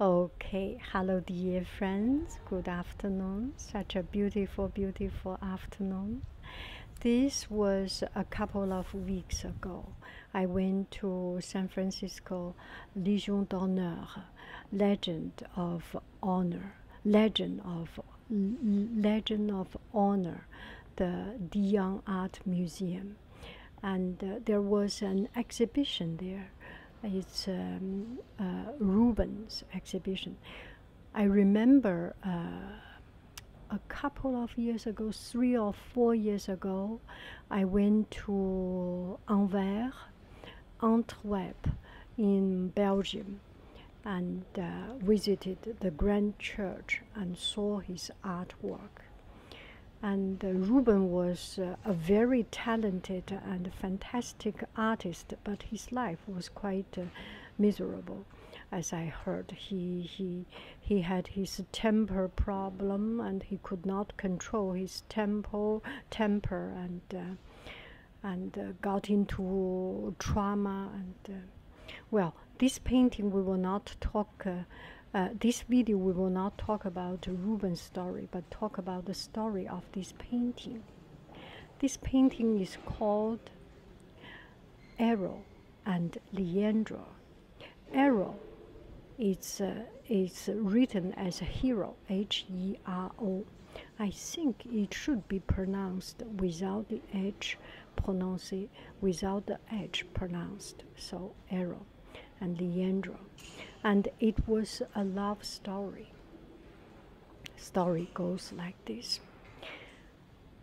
Okay, hello dear friends. Good afternoon. Such a beautiful, beautiful afternoon. This was a couple of weeks ago. I went to San Francisco Legion d'honneur, Legend of Honor, Legend of Legend of Honor, the De Young Art Museum and uh, there was an exhibition there. It's um, uh, Rubens exhibition. I remember uh, a couple of years ago, three or four years ago, I went to Anvers, Antwerp, in Belgium, and visited the Grand Church and saw his artwork. And uh, Ruben was uh, a very talented and fantastic artist, but his life was quite uh, miserable. As I heard, he he he had his temper problem, and he could not control his temper, temper, and and got into trauma. And well, this painting we will not talk uh, uh, this video we will not talk about Rubens' story, but talk about the story of this painting. This painting is called Arrow and Leandro. Arrow is, uh, written as a hero, H E R O. I think it should be pronounced without the H pronounced, without the H pronounced, so arrow and Leandro. And it was a love story. Story goes like this.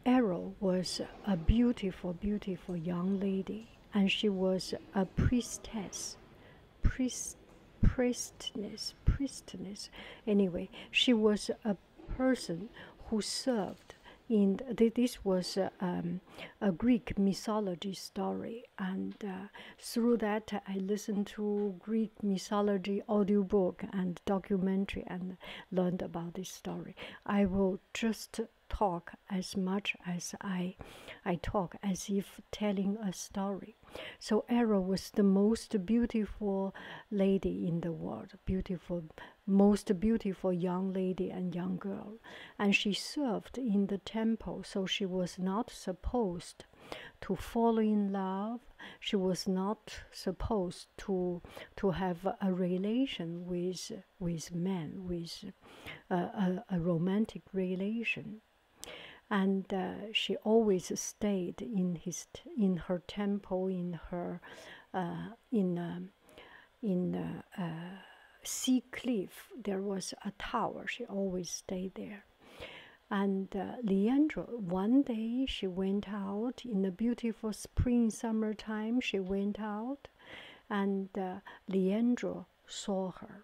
Errol was a beautiful, beautiful young lady, and she was a priestess, priest, priestess, priestess. Anyway, she was a person who served in this was uh, um, a Greek mythology story, and uh, through that I listened to Greek mythology audiobook and documentary and learned about this story. I will just talk as much as I, I talk as if telling a story. So Era was the most beautiful lady in the world, beautiful, most beautiful young lady and young girl and she served in the temple, so she was not supposed to fall in love. She was not supposed to to have a relation with with men, with uh, a, romantic relation and uh, she always stayed in his in her temple in her uh, in um, in the uh, sea cliff there was a tower she always stayed there and uh, leandro one day she went out in the beautiful spring summertime she went out and uh, leandro saw her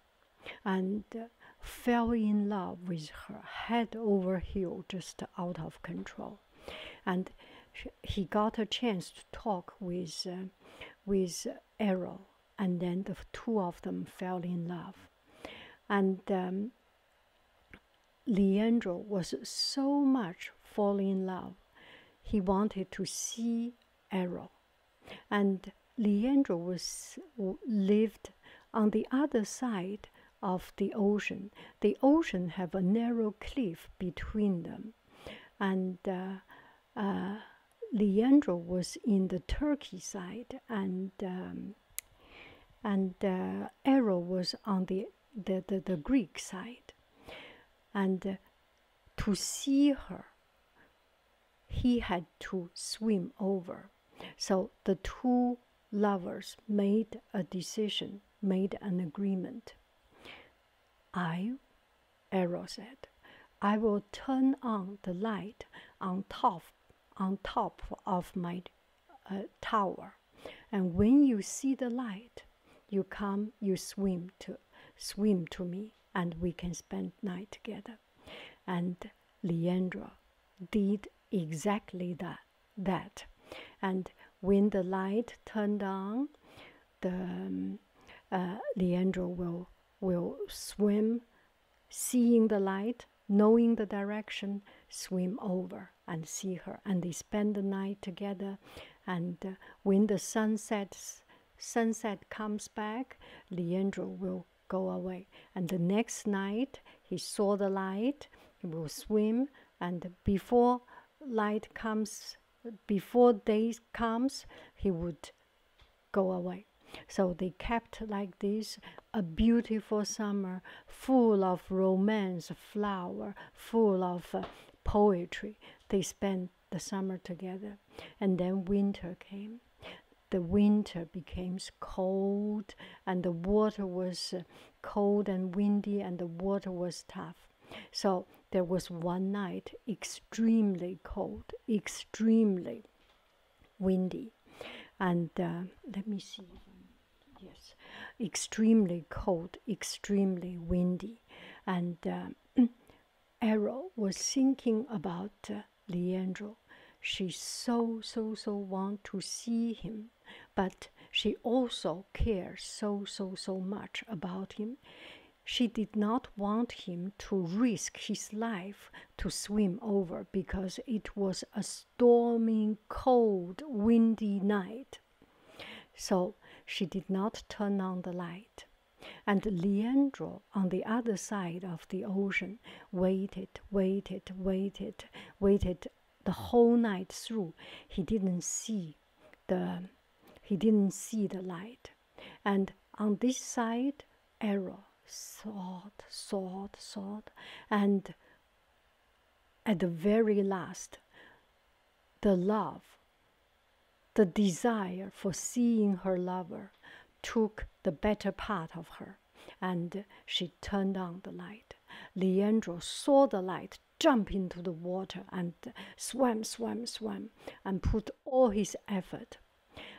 and uh, fell in love with her head over heel just out of control and he got a chance to talk with uh, with arrow and then the two of them fell in love and um, leandro was so much falling in love he wanted to see arrow and leandro was lived on the other side of the ocean the ocean have a narrow cliff between them and uh, uh, Leandro was in the Turkey side, and um, and uh, was on the the, Greek side. And uh, to see her, he had to swim over. So the two lovers made a decision, made an agreement I, Arrow said, I will turn on the light on top, on top of my uh, tower, and when you see the light, you come, you swim to, swim to me, and we can spend night together. And Leandra did exactly that. That, and when the light turned on, the um, uh, Leandro will will swim, seeing the light, knowing the direction, swim over and see her, and they spend the night together. And uh, when the sun sets, sunset comes back, Leandro will go away. And the next night, he saw the light, he will swim, and before light comes, before day comes, he would go away. So they kept like this a beautiful summer full of romance, flower, full of uh, poetry. They spent the summer together. And then winter came. The winter became cold, and the water was uh, cold and windy, and the water was tough. So there was one night extremely cold, extremely windy, and uh, let me see. Yes, extremely cold, extremely windy, and uh, Errol was thinking about uh, Leandro. She so so so want to see him, but she also cared so, so, so much about him. She did not want him to risk his life to swim over because it was a storming, cold, windy night. So she did not turn on the light. And Leandro, on the other side of the ocean, waited, waited, waited, waited the whole night through he didn't see the he didn't see the light and on this side error thought thought thought and at the very last the love the desire for seeing her lover took the better part of her and she turned on the light leandro saw the light jump into the water and swam, swam, swam, and put all his effort.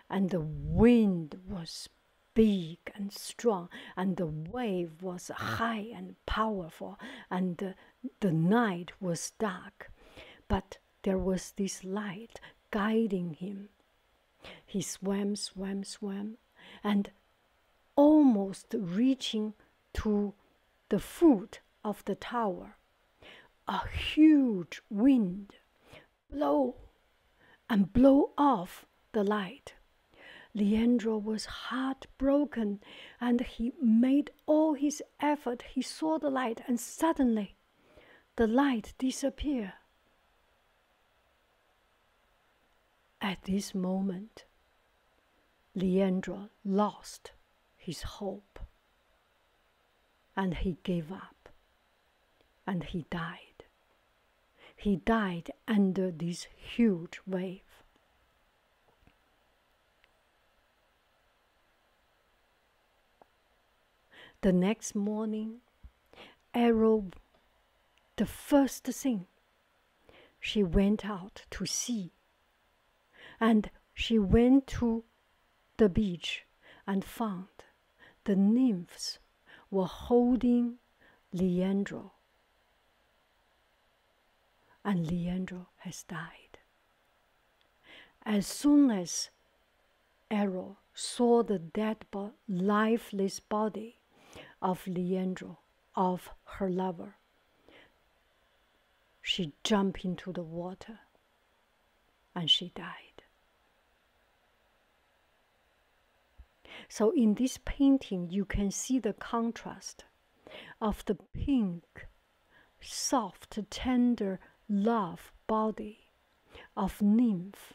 And the wind was big and strong, and the wave was high and powerful, and the night was dark. But there was this light guiding him. He swam, swam, swam, and almost reaching to the foot of the tower. A huge wind blow and blow off the light. Leandro was heartbroken and he made all his effort. He saw the light and suddenly the light disappear. At this moment, Leandro lost his hope and he gave up and he died. He died under this huge wave. The next morning, Arrow, the first thing she went out to sea and she went to the beach and found the nymphs were holding Leandro. And Leandro has died. As soon as Arrow saw the dead, bo lifeless body of Leandro, of her lover, she jumped into the water and she died. So, in this painting, you can see the contrast of the pink, soft, tender love body of nymph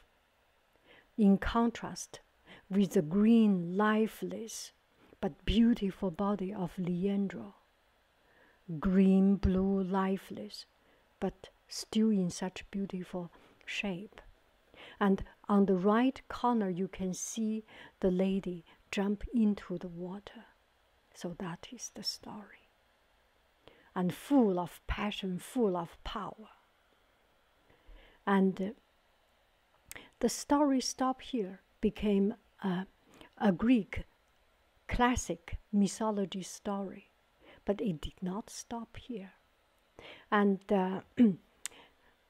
in contrast with the green, lifeless, but beautiful body of Leandro. Green, blue, lifeless, but still in such beautiful shape. And on the right corner, you can see the lady jump into the water. So that is the story. And full of passion, full of power. And the story Stop Here became a, Greek classic mythology story, but it did not stop here. And uh,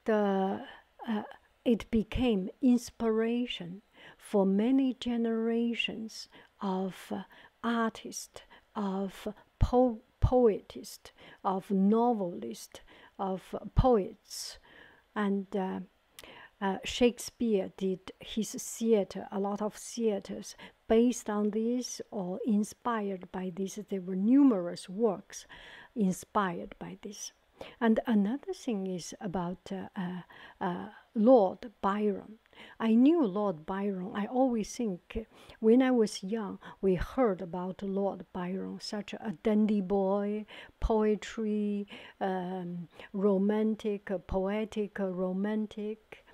the, uh, it became inspiration for many generations of uh, artists, of po poetist, of novelist, of poets, and uh, uh, Shakespeare did his theater, a lot of theaters based on this or inspired by this. There were numerous works inspired by this. And another thing is about uh, Lord Byron. I knew Lord Byron. I always think when I was young, we heard about Lord Byron, such a dandy boy, poetry, um, romantic, poetic, romantic,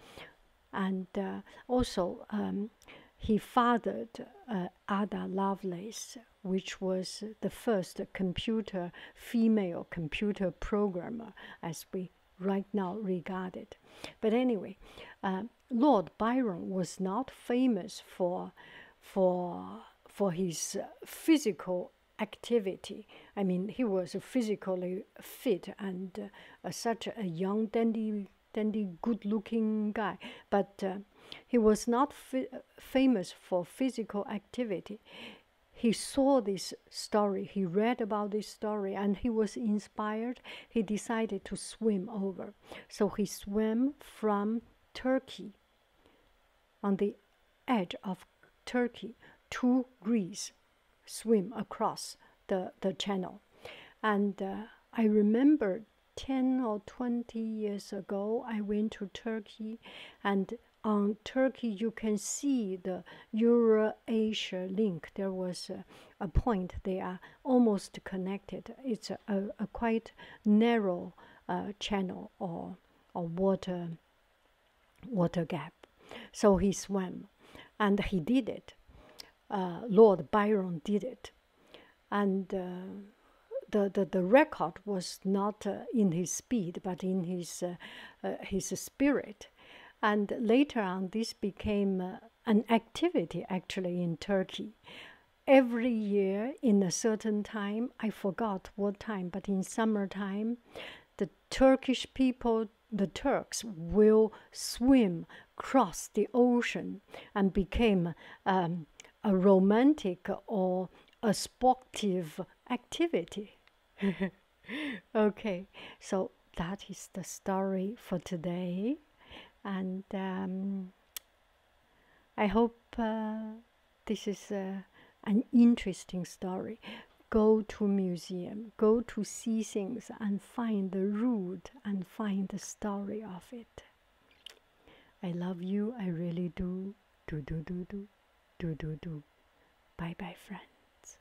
and uh, also um, he fathered uh, Ada Lovelace, which was the first computer female computer programmer, as we right now regard it. But anyway, uh, Lord Byron was not famous for, for, for his uh, physical activity. I mean, he was physically fit and uh, such a young, dandy, dandy, good-looking guy. But uh, he was not famous for physical activity. He saw this story, he read about this story, and he was inspired. He decided to swim over so he swam from Turkey, on the edge of Turkey, to Greece, swim across the, the channel. And uh, I remember 10 or 20 years ago, I went to Turkey, and on Turkey you can see the Eurasia link. There was a, point they are almost connected. It's a, quite narrow uh, channel or or water water gap. So he swam, and he did it. Uh, Lord Byron did it, and. Uh, the, the, record was not in his speed, but in his, his spirit. And later on, this became an activity actually in Turkey. Every year in a certain time, I forgot what time, but in summertime, the Turkish people, the Turks, will swim cross the ocean and became um, a romantic or a sportive activity. okay, so that is the story for today and um, I hope uh, this is uh, an interesting story. Go to museum, go to see things and find the root and find the story of it. I love you, I really do. Do do do do do do do. Bye bye friends.